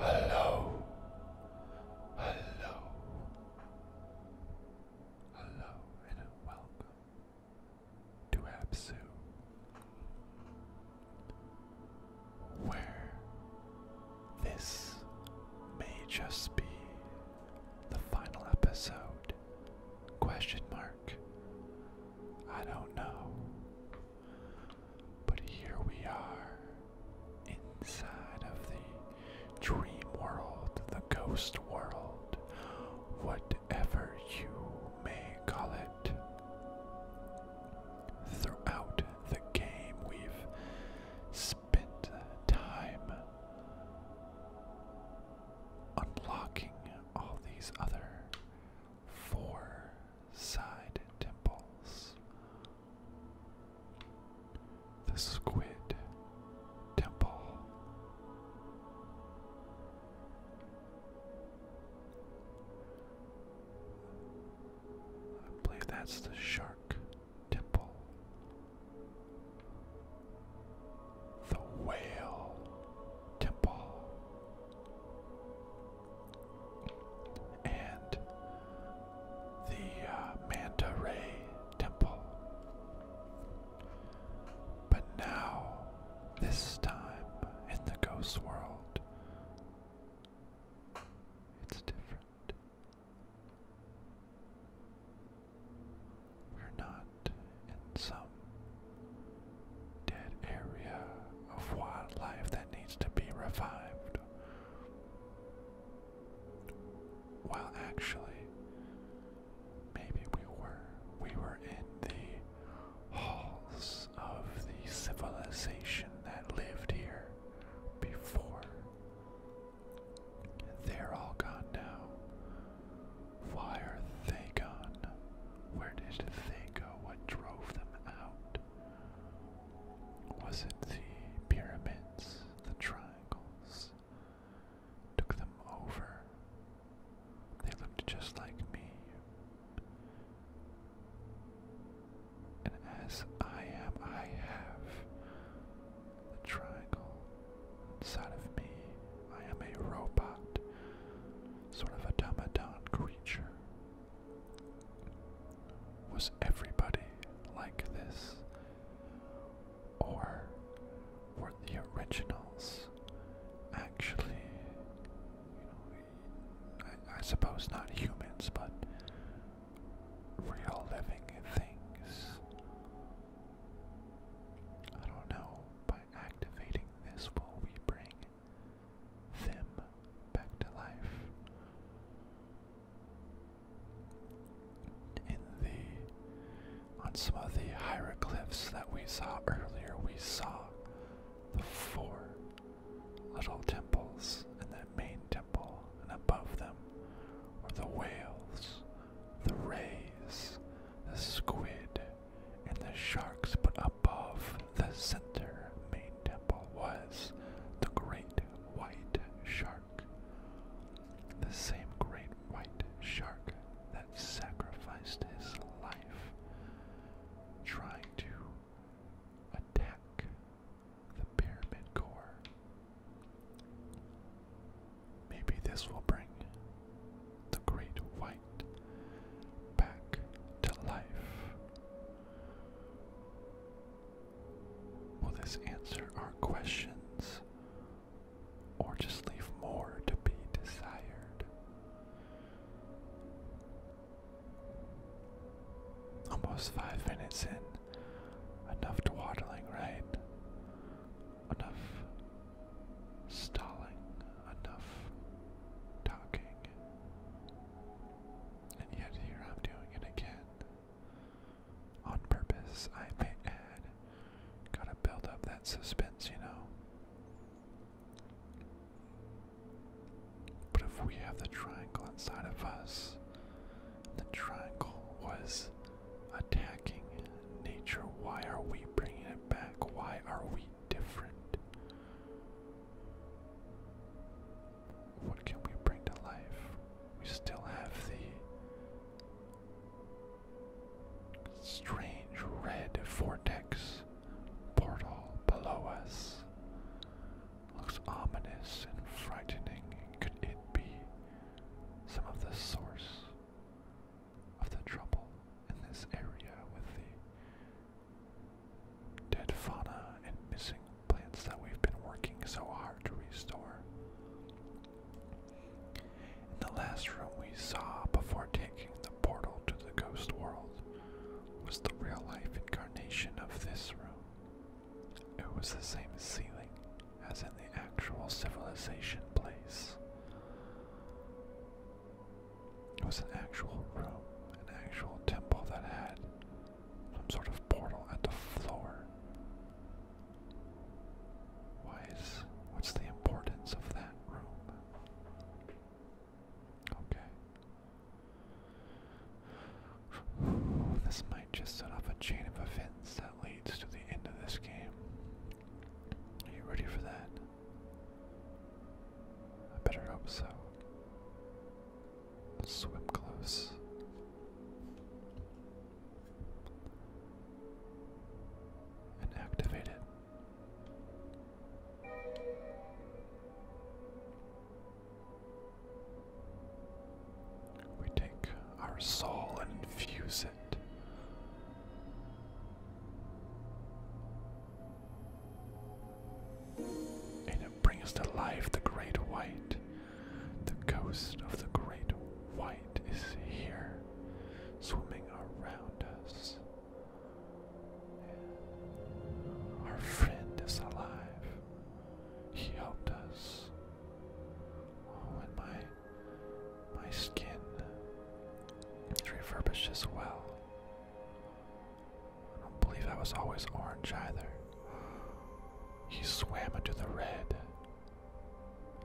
Hello, hello, hello, and welcome to Absu where this may just be the final episode question mark I don't know but here we are inside of the dream world the ghost world whatever you may call it Throughout the game, we've time unlocking all these other four side temples. The Squid Temple. I believe that's the shark Temple. The Whale Temple. And the uh, Manta Ray Temple. But now, this time in the ghost world, it's different. We're not in some dead area of wildlife that needs to be revived. Well, actually, maybe we were. We were in the halls of the civilization that lived here before they're all gone now. Why are they gone? Where did they go? What drove them out? Was it the pyramids, the triangles? Took them over. They looked just like me and as I am, I have the triangle inside of me. I am a robot, sort of automaton creature. Was everybody like this? Or were the originals actually, you know, I suppose not humans, but real living things. I don't know, by activating this, will we bring them back to life? In the, on some of the hieroglyphs that we saw earlier, we saw the four little temples and that main temple and above them were the whales, the rays, the squid, and the sharks, but above the center main temple was the great white shark. The same great white shark that sacrificed his life trying to attack the pyramid core. Maybe this will bring the great white back to life. Will this answer our questions or just leave more to be desired? Almost five minutes in. Enough dawdling, right? Enough stalling, enough talking. And yet here I'm doing it again. On purpose, I may add. Gotta build up that suspense, you know. But if we have the triangle inside of us, the triangle was attacking nature. Why are we bringing it back? Why are we different? What can we bring to life? We still have the strange red vortex portal below us looks ominous and frightening. Could it be some of the source of the trouble in this area with the dead fauna and missing plants that we've been working so hard to restore? In the last room we saw before taking the portal to the ghost world was the real life incarnation of this room. It was the same ceiling as in the actual civilization place. It was an actual room, an actual temple that had some sort of portal at the floor. Why is. What's the importance of that room? Okay. This might just set off a chain of events that leads to the end of this game. Are you ready for that? I better hope so. swim close. And activate it. We take our soul and infuse it. And it brings to life the Great White. The ghost of the Great White is here, swimming around us. Our friend is alive. He helped us and my my skin is refurbished as well. I don't believe I was always orange either. He swam into the red.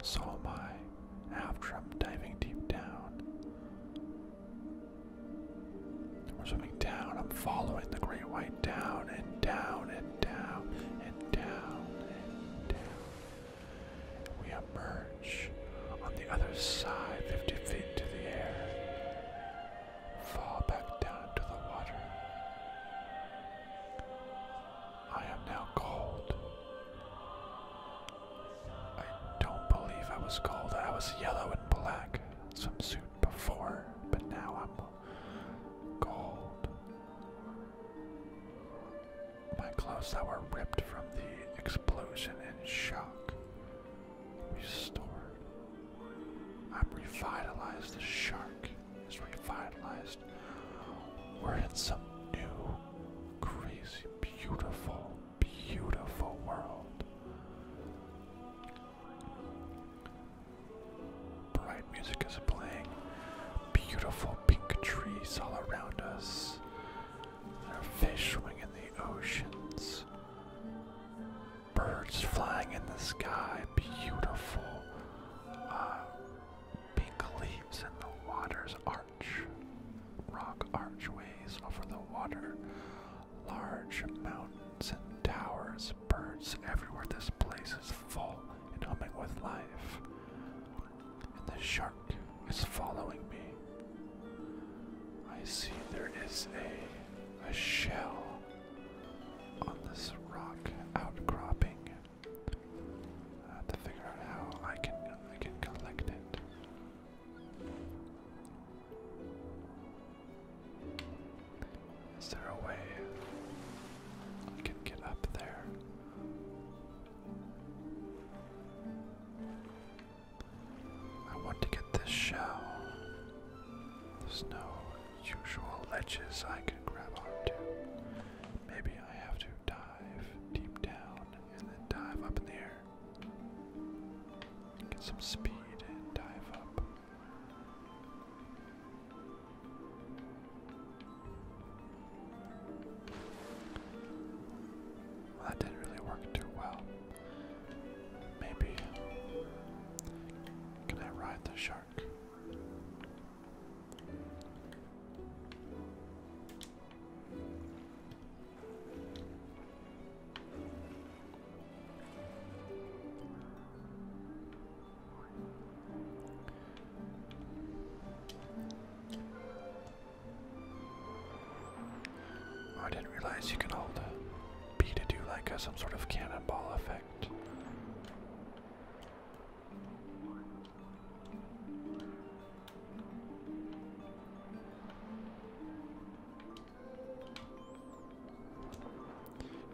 So am I after I'm diving deep down. We're swimming down. I'm following the great white down and down and and down and down and down. We emerge on the other side, 50 feet into the air, fall back down to the water. I am now cold. I don't believe I was cold. I was yellow and black swimsuit before, but now I'm cold. My clothes that were ripped from the explosion in shock restored. I'm revitalized. The shark is revitalized. We're in some new, crazy, beautiful, beautiful world. Bright music is playing. Beautiful pink trees all around us. There are fish swimming in the oceans. Birds flying in the sky. Beautiful uh, pink leaves in the water's arch. Rock archways over the water. Large mountains and towers. Birds everywhere. This place is full and humming with life. And the shark is following me. I see there is a a shell on this rock outcropping. I have to figure out how I can I can collect it. Is there a way I can get up there? I want to get this shell. There's no usual ledges I can grab onto. Maybe I have to dive deep down and then dive up in the air. Get some speed and dive up that didn't really work too well. Maybe. Can I ride the shark? Oh, I didn't realize you can hold a B to do like a, some sort of cannonball effect.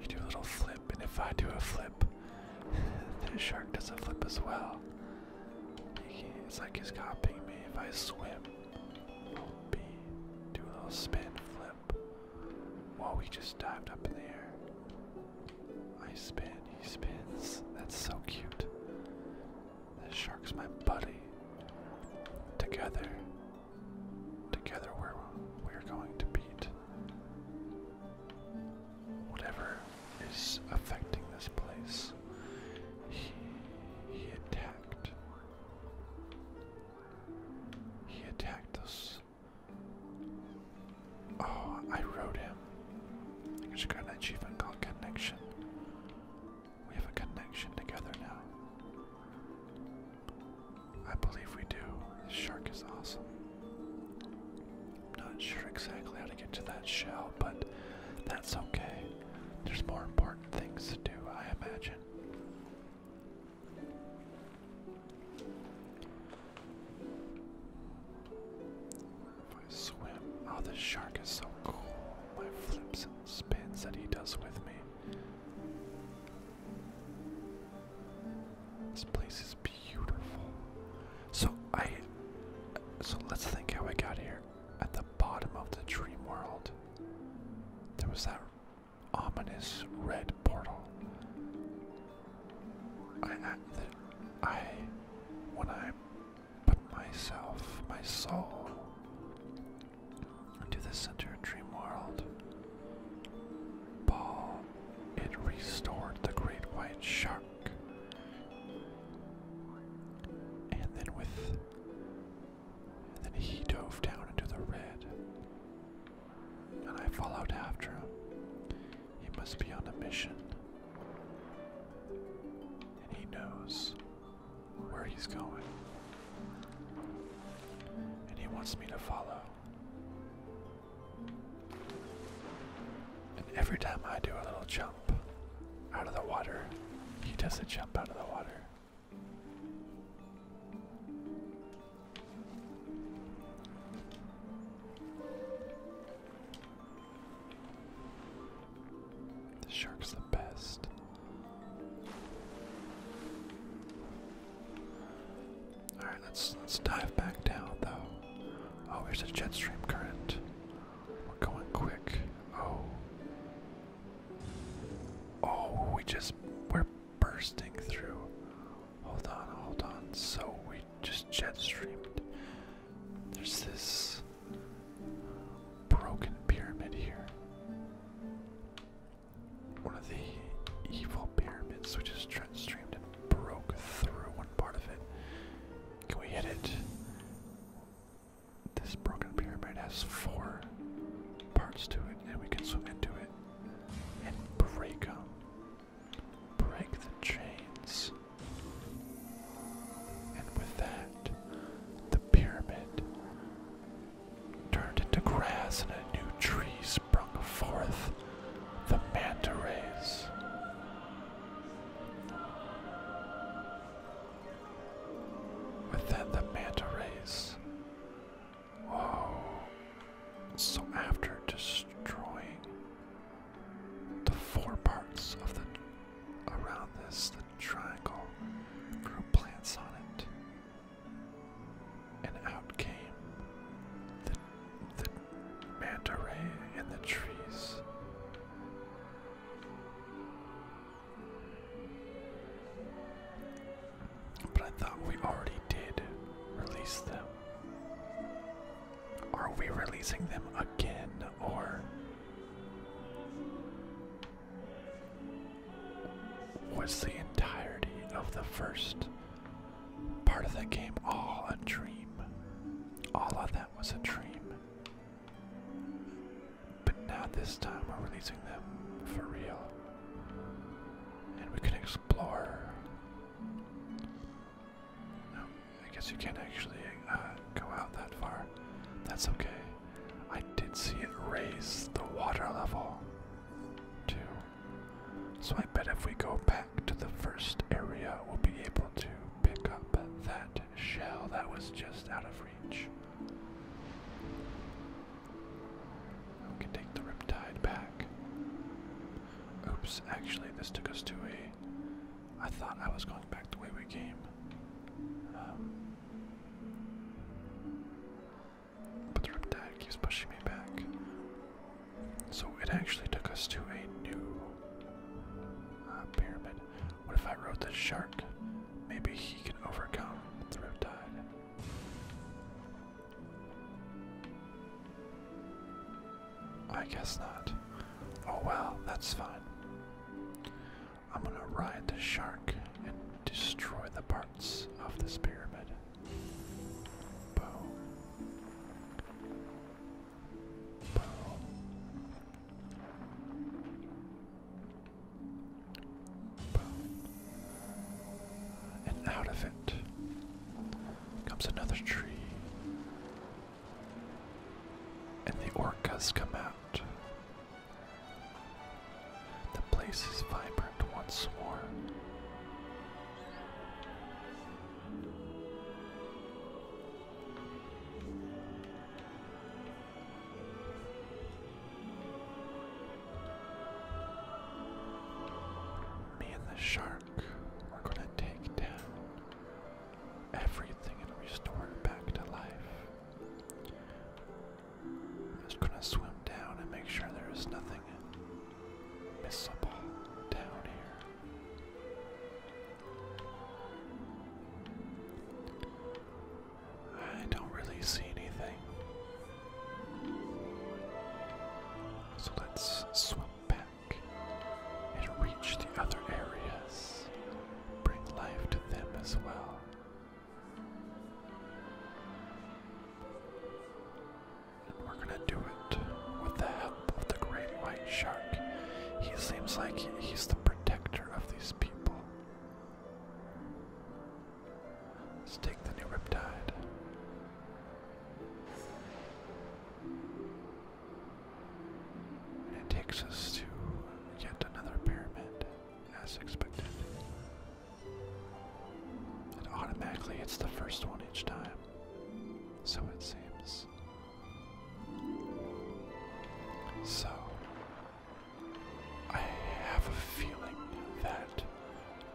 You do a little flip, and if I do a flip, This shark does a flip as well. it's like he's copying me. If I swim, do a little spin flip. Whoa, we just dived up in the air. I spin, he spins. That's so cute. This shark's my buddy. Together, together we're we're going to beat whatever is affecting this place. He, he attacked. He attacked us. Oh, I rode him. I think it's a great achievement called Connection. We have a connection together now. I believe we do. This shark is awesome not sure exactly how to get to that shell, but that's okay. There's more important things to do, I imagine. I swim, oh, this shark is so cool. My flips and spins that he does with me. This place is beautiful. So I so let's think how I got here. At the bottom of the dream world, there was that ominous red portal. I, I, the, I when I put myself, my soul, into the center of dream world, Ball, it restored the great white shark. And then with and then he dove down into the red. And I followed after him. He must be on a mission. And he knows where he's going. And he wants me to follow. And every time I do a little jump out of the water, he does a jump out of the water. The shark's the best. All right, let's let's dive back down though. Oh, there's a jet stream current. We're going quick. Oh. Oh, we just we're bursting through. Hold on, hold on. So we just jet streamed. There's this broken pyramid here. One of the evil pyramids, which is jet streamed and broke through one part of it. Can we hit it? This broken pyramid has four parts to it, and we can swim into it and break them. Break the chains. And with that, the pyramid turned into grass and a new tree sprung forth. The manta rays. Within the manta rays. So after destroying the four parts of the around this, triangle grew plants on it. And out came the the manta ray in the trees. But I thought we already did release them. Are we releasing them again or was the entirety of the first part of the game all a dream? All of that was a dream. But now, this time, we're releasing them for real. And we can explore. I guess you can't actually uh, go out that far. That's okay. I did see it raise the water level, too. So I bet if we go back to the first area, we'll be able to pick up that shell that was just out of reach. We can take the riptide back. Oops, actually, this took us to a. I thought I was going back the way we came. Um, but the riptide keeps pushing me back. So it actually took us to a new pyramid. What if I rode the shark? Maybe he can overcome the riptide. I guess not. Oh well, that's fine. I'm gonna ride the shark and destroy the parts of this pyramid. Boom. And out of it comes another tree. And the orcas come out. The place is vibrant once more. Me and the shark are going to take down everything and restore it back to life. just going to swim down and make sure there is nothing missable down here. I don't really see anything. So let's swim back and reach the other areas. Bring life to them as well. And we're going to do it with the help up the great white shark. He seems like he's the protector of these people. Let's take the new riptide. it takes us to yet another pyramid, as expected. It automatically hits the first one each time. So it seems. So, I have a feeling that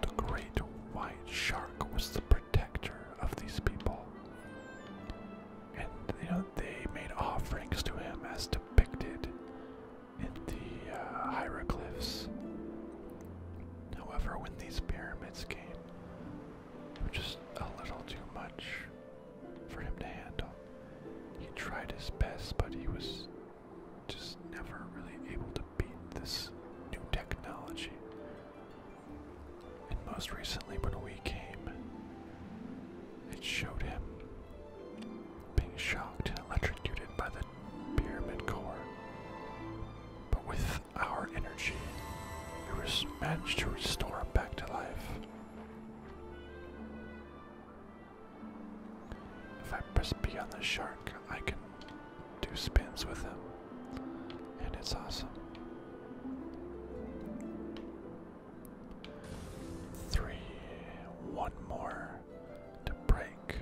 the great white shark was the protector of these people. And, you know, they made offerings to him as depicted in the uh, hieroglyphs. However, when these pyramids came, they were just a little too much for him to handle. He tried his best, but he was just never really able to beat this new technology. And most recently, when we came, it showed him being shocked and electrocuted by the pyramid core. But with our energy, we managed to restore him back to life. If I press B on the shark, I can do spins with him, and it's awesome. Three, one more to break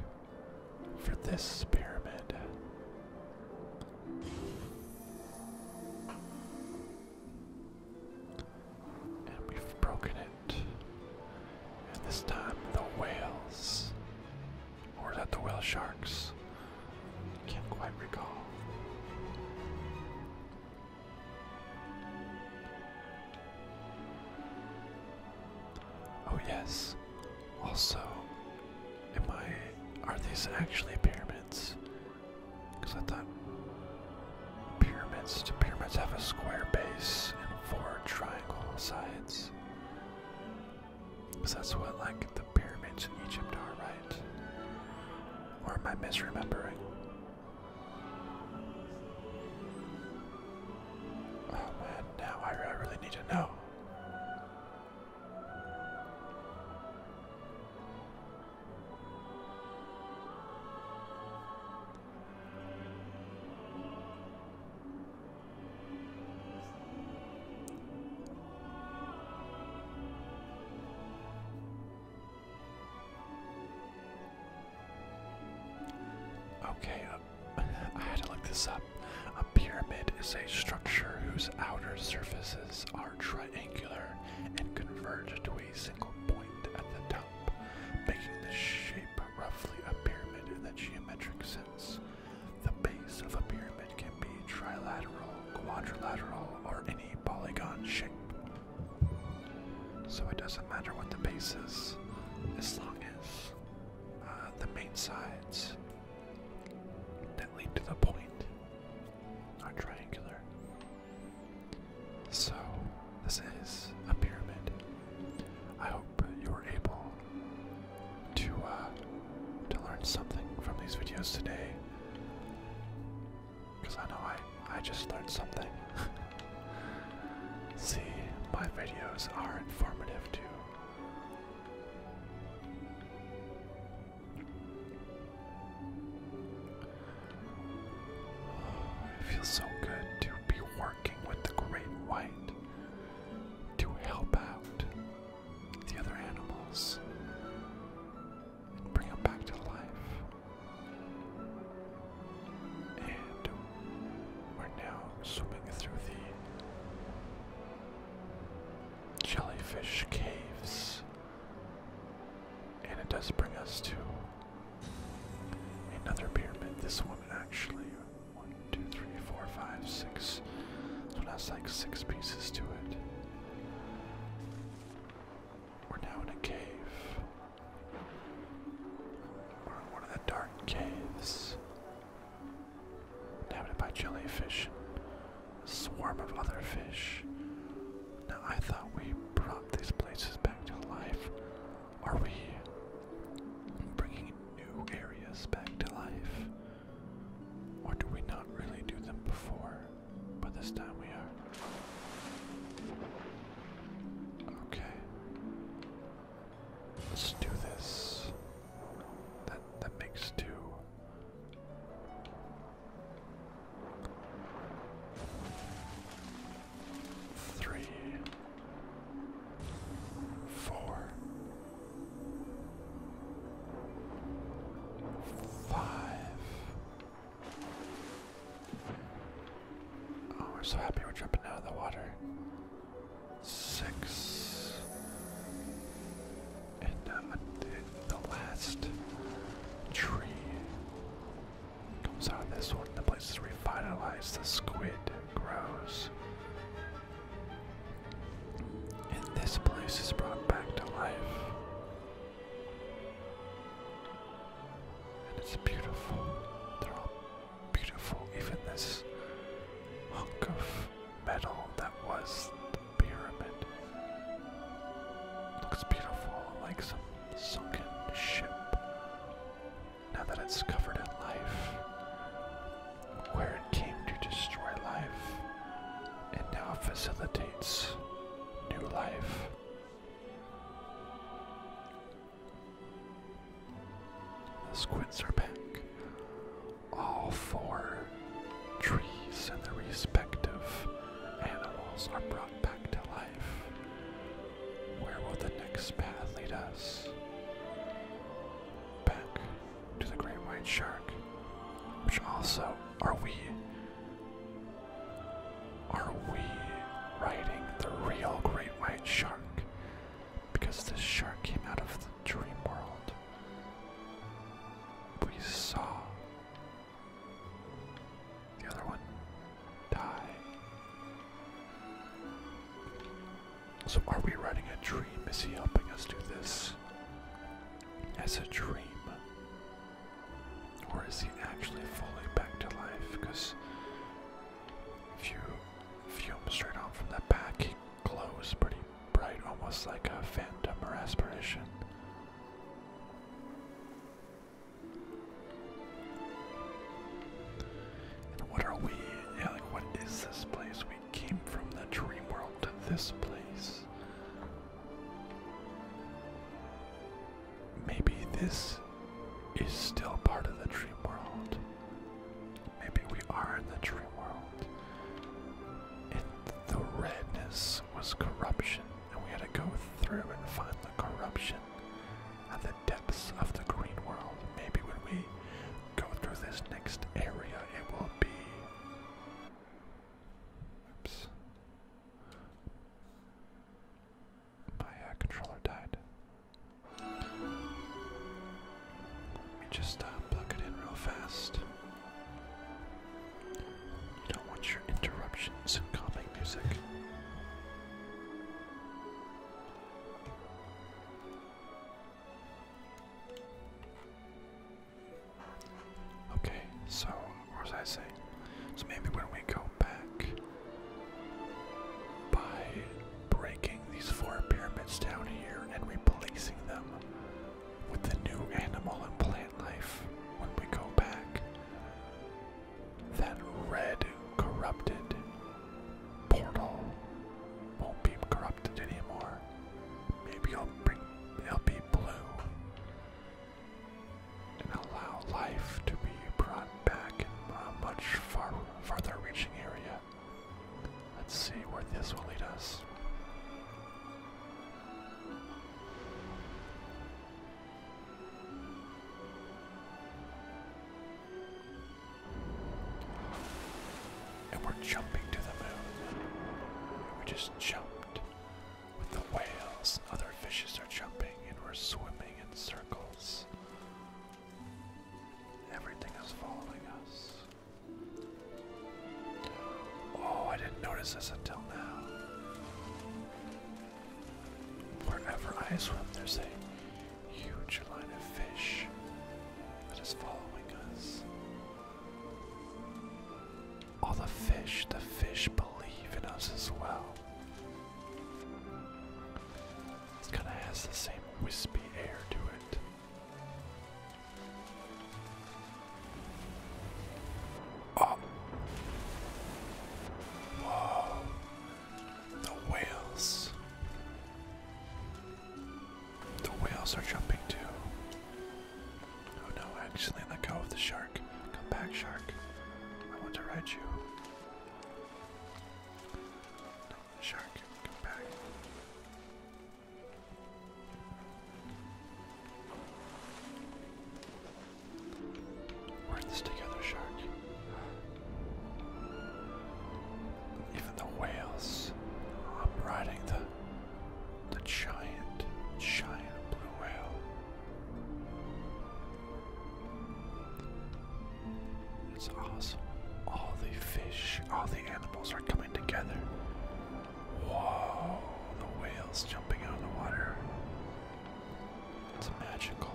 for this pyramid. And we've broken it. And this time the whales. Or is that the whale sharks? Can't quite recall. Oh yes. Also, am I are these actually pyramids? Because I thought pyramids, pyramids have a square base and four triangle sides? Because that's what, like, the pyramids in Egypt are, right? Or am I misremembering? Oh man, now I really need to know. Okay, uh, I had to look this up. A pyramid is a structure whose outer surfaces are triangular and converge to a every single point at the top, making the shape roughly a pyramid in the geometric sense. The base of a pyramid can be trilateral, quadrilateral, or any polygon shape. So it doesn't matter what the base is, as long as uh, the main sides that lead to the point are triangular. So, this is a pyramid. I hope you were able to uh, to learn something from these videos today, because I know I I just learned something. See, my videos are informative too. It feels so good to be working with the great white to help out the other animals bring them back to life. And we're now swimming through the jellyfish caves. And it does bring us to another pyramid. This one actually, one, two, three, four, five, six. So it has like six pieces to it. We're now in a cave. We're in one of the dark caves. Inhabited by jellyfish, a swarm of other fish, now I thought we brought these places back to life. Are we bringing new areas back to life? Or do we not really do them before? But this time we are. Okay. Let's do this. That that makes two. Three, four, five. Oh, we're so happy we're jumping out of the water. Six. And the last tree Comes out of this one. The place is revitalized. The squid grows. And this place is brought back to life. And it's beautiful. They're all beautiful. Even this hunk of metal that was the pyramid looks beautiful, like some sunken ship. Now that it's covered in life, where it came to destroy life, it now facilitates new life. The squids are back. All four trees and their respective animals are brought back to life. Where will the next path lead us? Back to the great white shark, which also are we. Are we riding the real great white shark? Because this shark came out of the dream world. We saw the other one, die. So, are we riding a dream? Is he helping us do this as a dream? Or is he actually fully back to life? Because if you fume straight on from that back, he glows pretty bright, almost like a phantom or aspiration. And what are we? Yeah, like what is this place? We came from the dream world to this place. Maybe this is still part of the dream world. Maybe we are in the dream world. And the redness was corruption and we had to go through and find the corruption at the depths of the green world. Maybe when we go through this next area, it will be. Oops. My uh, controller died. Let me just uh, plug it in real fast. You don't want your interruptions and calming music. Okay, so what was I saying? So maybe when we go back, by breaking these four pyramids down here and replacing them with the new animal and plant life, when we go back, that red corrupted portal won't be corrupted anymore. Maybe I'll bring it'll be blue and allow life to be brought back in a much far farther reaching area. Let's see where this will lead us. And we're jumping to the moon. We just jumped with the whales. Other fishes are jumping, and we're swimming in circles. Everything is following us. Oh, I didn't notice this until now. Wherever I swim, there's a huge line of fish that is following us. All the fish, the fish believe in us as well. It kind of has the same wispy air to it. Oh. Whoa. The whales. The whales are jumping too. Oh no, actually, let go of the shark. Come back, shark. I want to ride you. No, shark, come back. We're in this together, shark. Even the whales. I'm riding the the giant, giant blue whale. It's awesome. All the fish, all the animals are coming together. Whoa, the whales jumping out of the water. It's magical.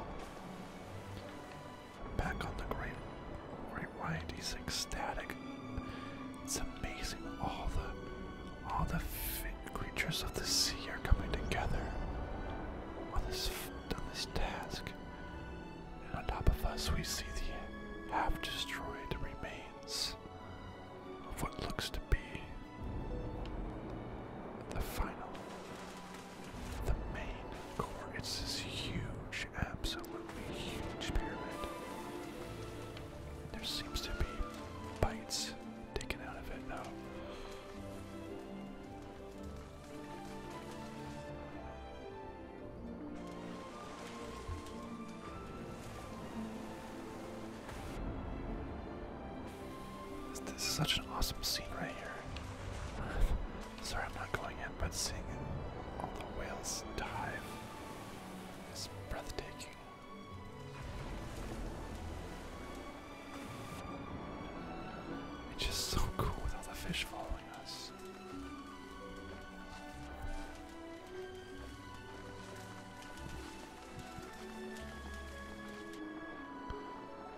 Back on the Great, great White, he's ecstatic. It's amazing. All the, all the creatures of the sea are coming together on this on this task. And on top of us, we see the half-destroyed remains of what looks to be the final the main core. It's this huge, absolutely huge pyramid. There seems to be bites taken out of it now. This, is such an awesome scene right here. Sorry, I'm not going in, but seeing all the whales dive is breathtaking. It's just so cool with all the fish following us.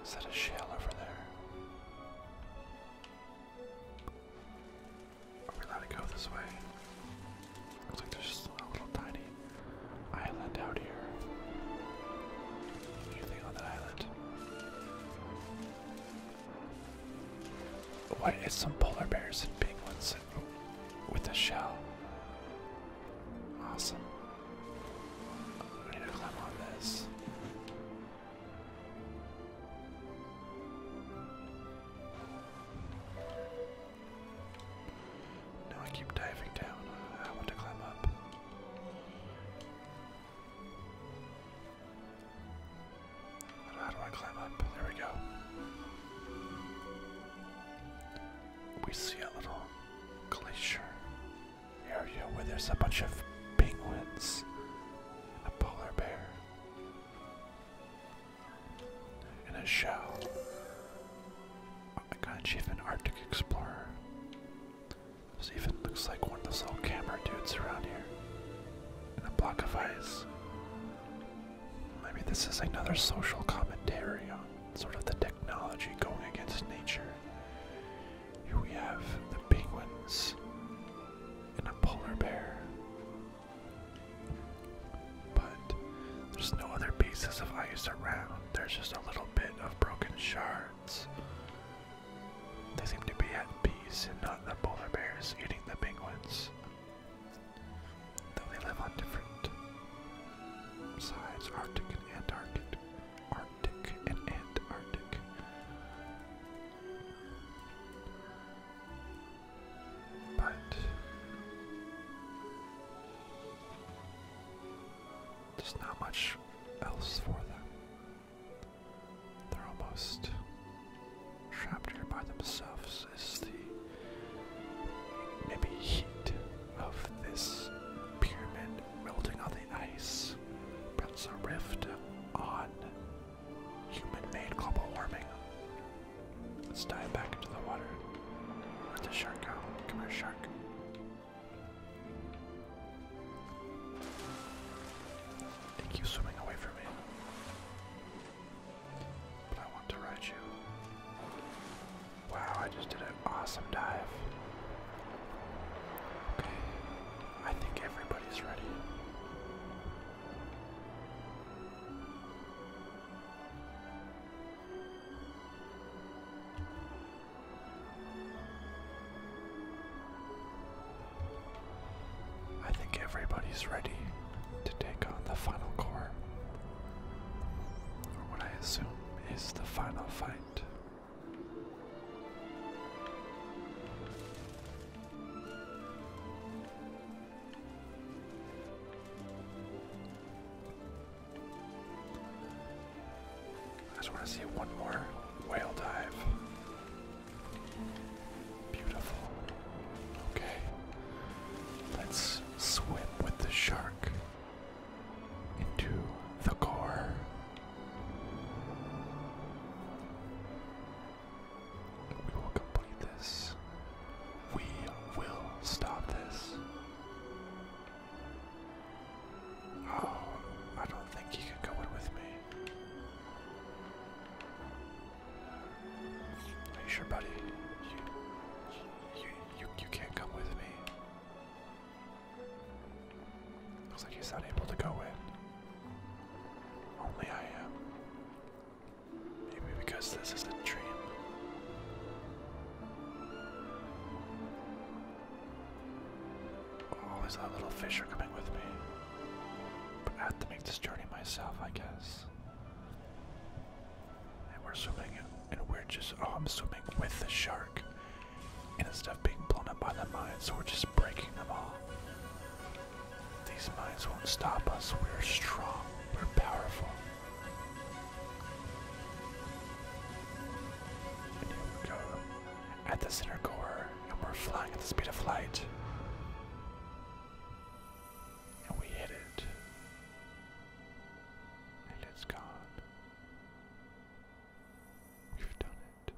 Is that a shell over there? Are we allowed to go this way? Looks like there's just a little tiny island out here. Anything on that island? What? It's some polar bears and penguins with a shell. Awesome. I need to climb on this. No, I keep diving down. I want to climb up. How do I climb up? There we go. We see a little glacier area where there's a bunch of penguins and a polar bear and a shell. I got achievement Arctic Explorer. This even looks like one of those little camera dudes around here. And a block of ice. Maybe this is another social commentary on sort of the technology going against nature. Here we have the penguins and a polar bear. But there's no other pieces of ice around. There's just a little bit of broken shards. They seem to be at peace and not the polar bears eating the penguins. Though they live on different sides, Arctic and Arctic and Antarctic. But there's not much else for them. They're almost trapped here by themselves. Is the maybe heat of this pyramid melting on the really nice. Builds a rift on human-made global warming. Let's dive back into the water. Let the shark go? Come here, shark. It swimming away from me. But I want to ride you. Wow, I just did an awesome dive. I think everybody's ready. I think everybody's ready to take on the final core, or what I assume is the final fight I just want to see one more whale dive. Beautiful. Okay. Let's swim with the shark into the core we will complete this. We will stop this. Oh, I don't think he can go in with me. Are you sure, buddy? you, you, you can't come with me. Looks like he's not able to go in. Only I am. Maybe because this is a dream. Oh, is that little fisher coming with me? But I have to make this journey myself, I guess. And we're swimming, and we're just. Oh, I'm swimming with the shark and instead of being blown up by the mines, we're just breaking them all. These mines won't stop us. We're strong. We're powerful. And here we go. At the center core, and we're flying at the speed of light. And we hit it. And it's gone. We've done it.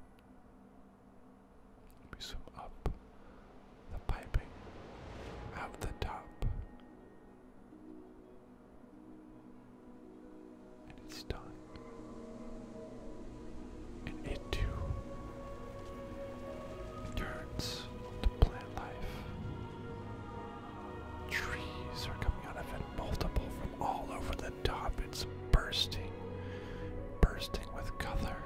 We swim up the piping, out the top. And it's done. And it turns to plant life. Trees are coming out of it, multiple from all over the top. It's bursting, bursting with color.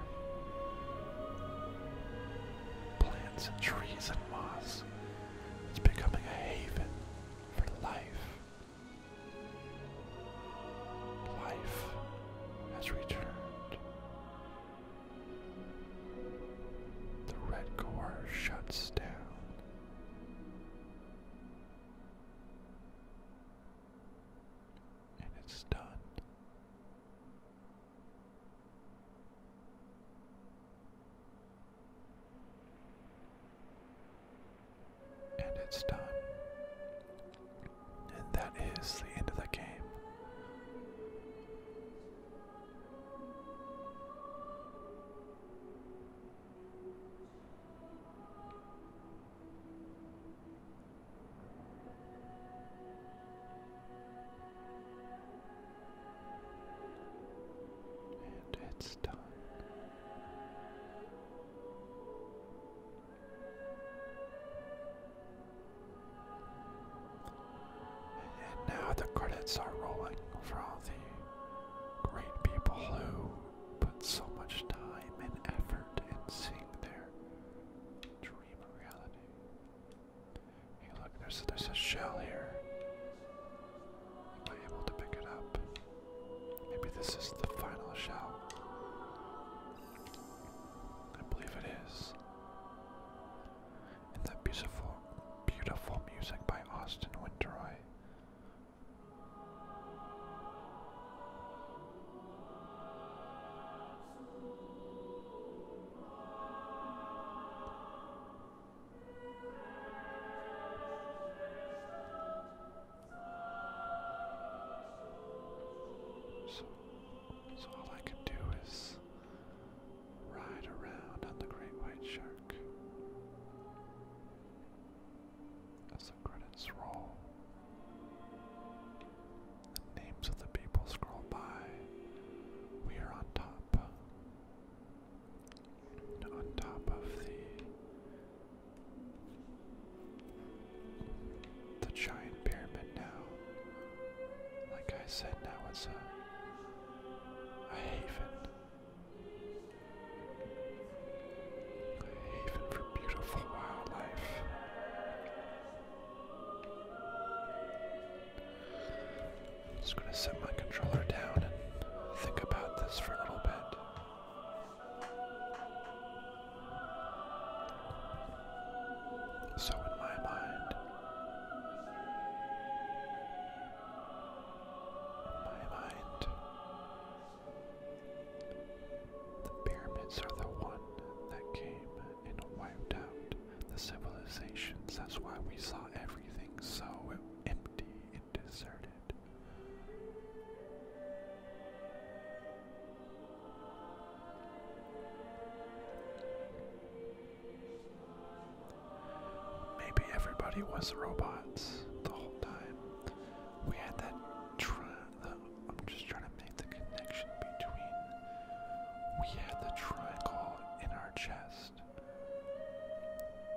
Plants and trees and moss. It's becoming a haven for life. Life has returned. The red core shuts down and it's done. And it's done. And that is the end of the game. And it's done. And now the credits are rolling for all the great people who put so much time and effort in seeing their dream reality. Hey, look, there's there's a shell here. Am I able to pick it up? Maybe this is the final shell. I believe it is. In the beautiful, beautiful music by Austin Winteroy so, so all I can do is ride around on the great white shark as the credits roll. The names of the people scroll by. We are on top. On top of the the giant pyramid now. Like I said, now it's a a haven a haven for beautiful wildlife. I'm just going to set my controller down and think about this for a little bit. So, in my mind, my mind, the pyramids are the one that came and wiped out the civilizations. That's why we saw everything so empty and deserted. Maybe everybody was robots the whole time. We had that I'm just trying to make the connection between we had the triangle in our chest,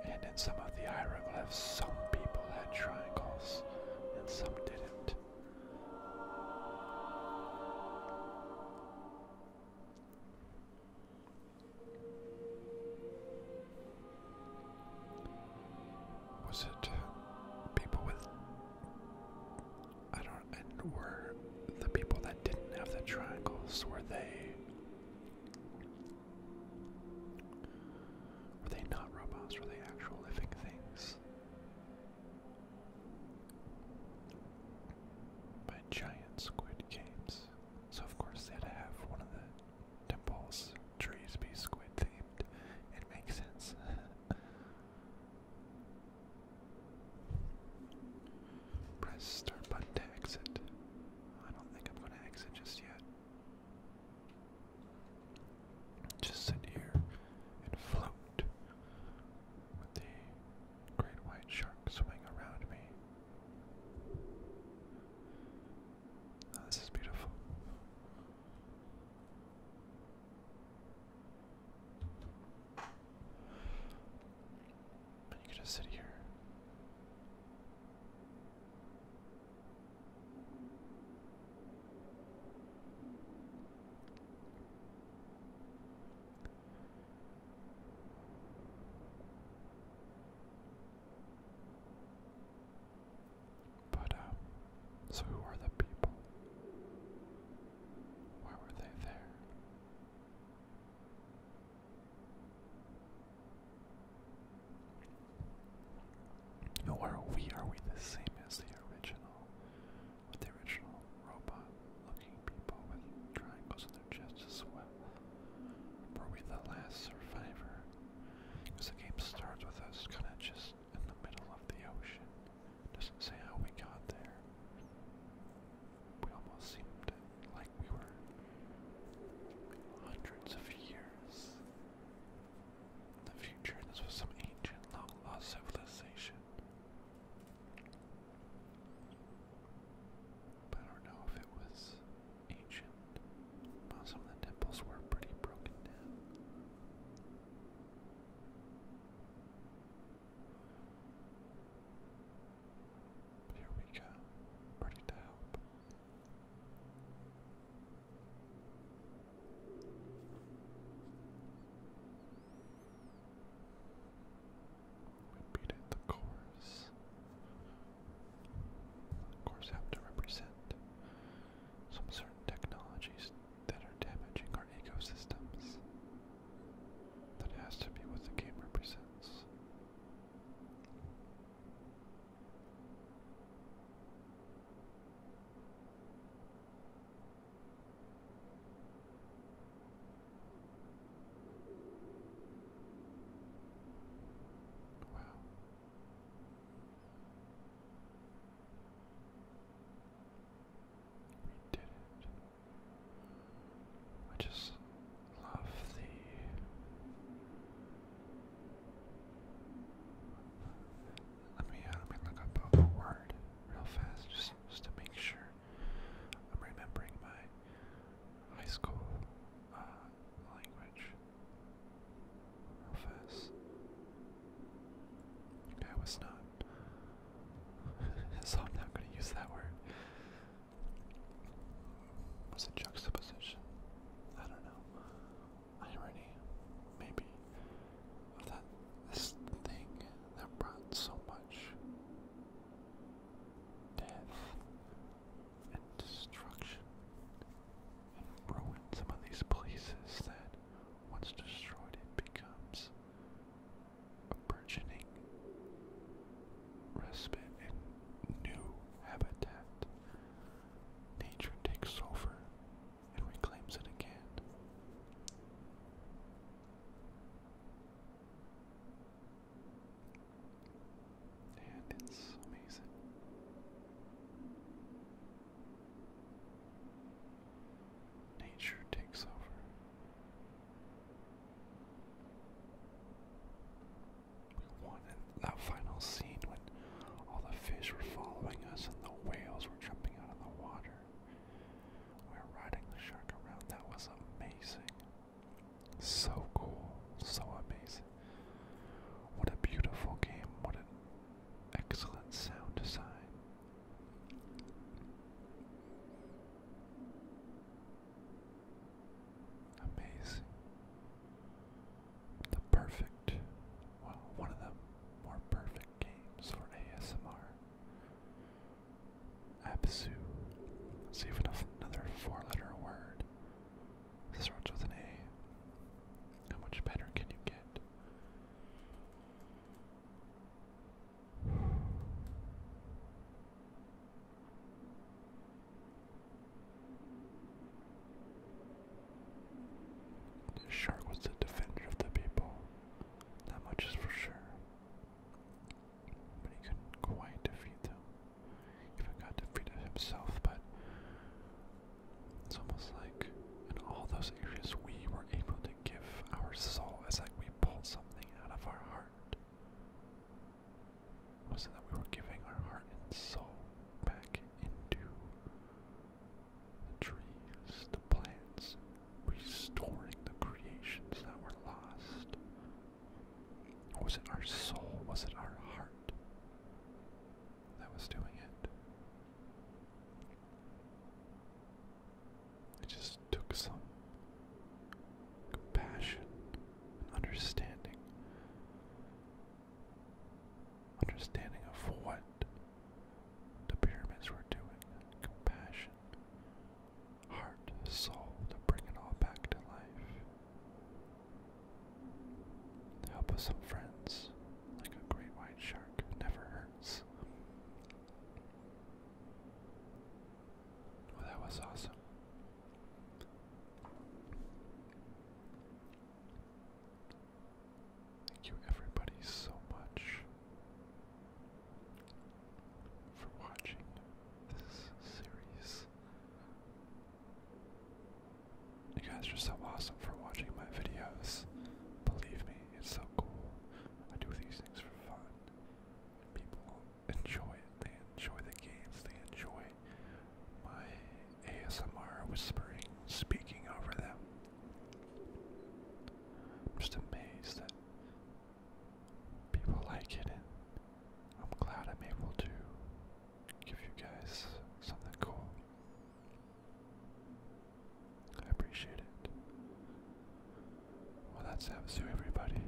and in some of the hieroglyphs, some people had triangles and some didn't. Was it people with I don't. were the people that didn't have the triangles were they? Were they not robots? Were they actual living things? By giant squid games. So of course they had to have one of the temples trees be squid themed. It makes sense. Press start button to exit. I don't think I'm going to exit just yet. Just sit here and float with the great white shark swimming around me. Oh, this is beautiful. But you could just sit here. But, um, so who are the people? Why were they there? Who are we? Are we the same as the original? the original robot looking people with triangles in their chests as well? Were we the last survivor? Because the game starts with us kind of just in the middle of the ocean. Doesn't say how we got there. We almost seemed like we were hundreds of years in the future. This was some ancient, long lost civilization. I don't know if it was ancient. some of the temples were pretty broken down. Here we go, ready to help. Repeat the chorus. Of course, have to represent some certain technologies that are damaging our ecosystems. That has to be what the game represents. Wow. We did it. I just love the let me uh, let me look up a word real fast just just to make sure I'm remembering my high school uh, language real fast. I was not. so I'm not going to use that word. Was it juxtaposition? I don't know. Irony, maybe. that this thing that brought so much death and destruction and ruined some of these places that once destroyed, it becomes a burgeoning respite in new habitat. Nature takes sulfur and reclaims it again. And it's amazing. Nature takes over. We wanted that final scene when all the fish were following us and the whales were jumping out of the water. We were riding the shark around. That was amazing. So cool. So amazing. What a beautiful game. What an excellent sound design. Amazing. The perfect, well, one of the more perfect games for ASMR. Absu. Let's see if another four letter word. This starts with an A. How much better can you get? The shark was the defender of the people, that much is for sure. But he couldn't quite defeat them. Even got defeated himself, but it's almost like in all those areas we were able to give our soul as like we pulled something out of our heart. Was it that we were giving our heart and soul back into the trees, the plants, restoring the creations that were lost? was it our soul? Was it our heart that was doing it? It just took some compassion and understanding. Understanding of what the pyramids were doing. Compassion, heart, soul to bring it all back to life. The help of some friends, like a great white shark, never hurts that was awesome. Thank you, everybody, so much for watching this series. You guys are so awesome for watching my videos. Believe me, it's so cool. I do these things for fun. People enjoy it. They enjoy the games. They enjoy my ASMR whispering, speaking over them. I'm just amazed that people like it, and I'm glad I'm able to give you guys something cool. I appreciate it. Well, that's Absu, everybody.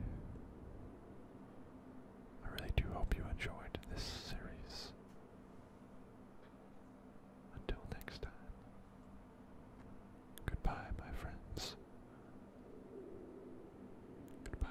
I really do hope you enjoyed this series. Until next time. Goodbye, my friends. Goodbye.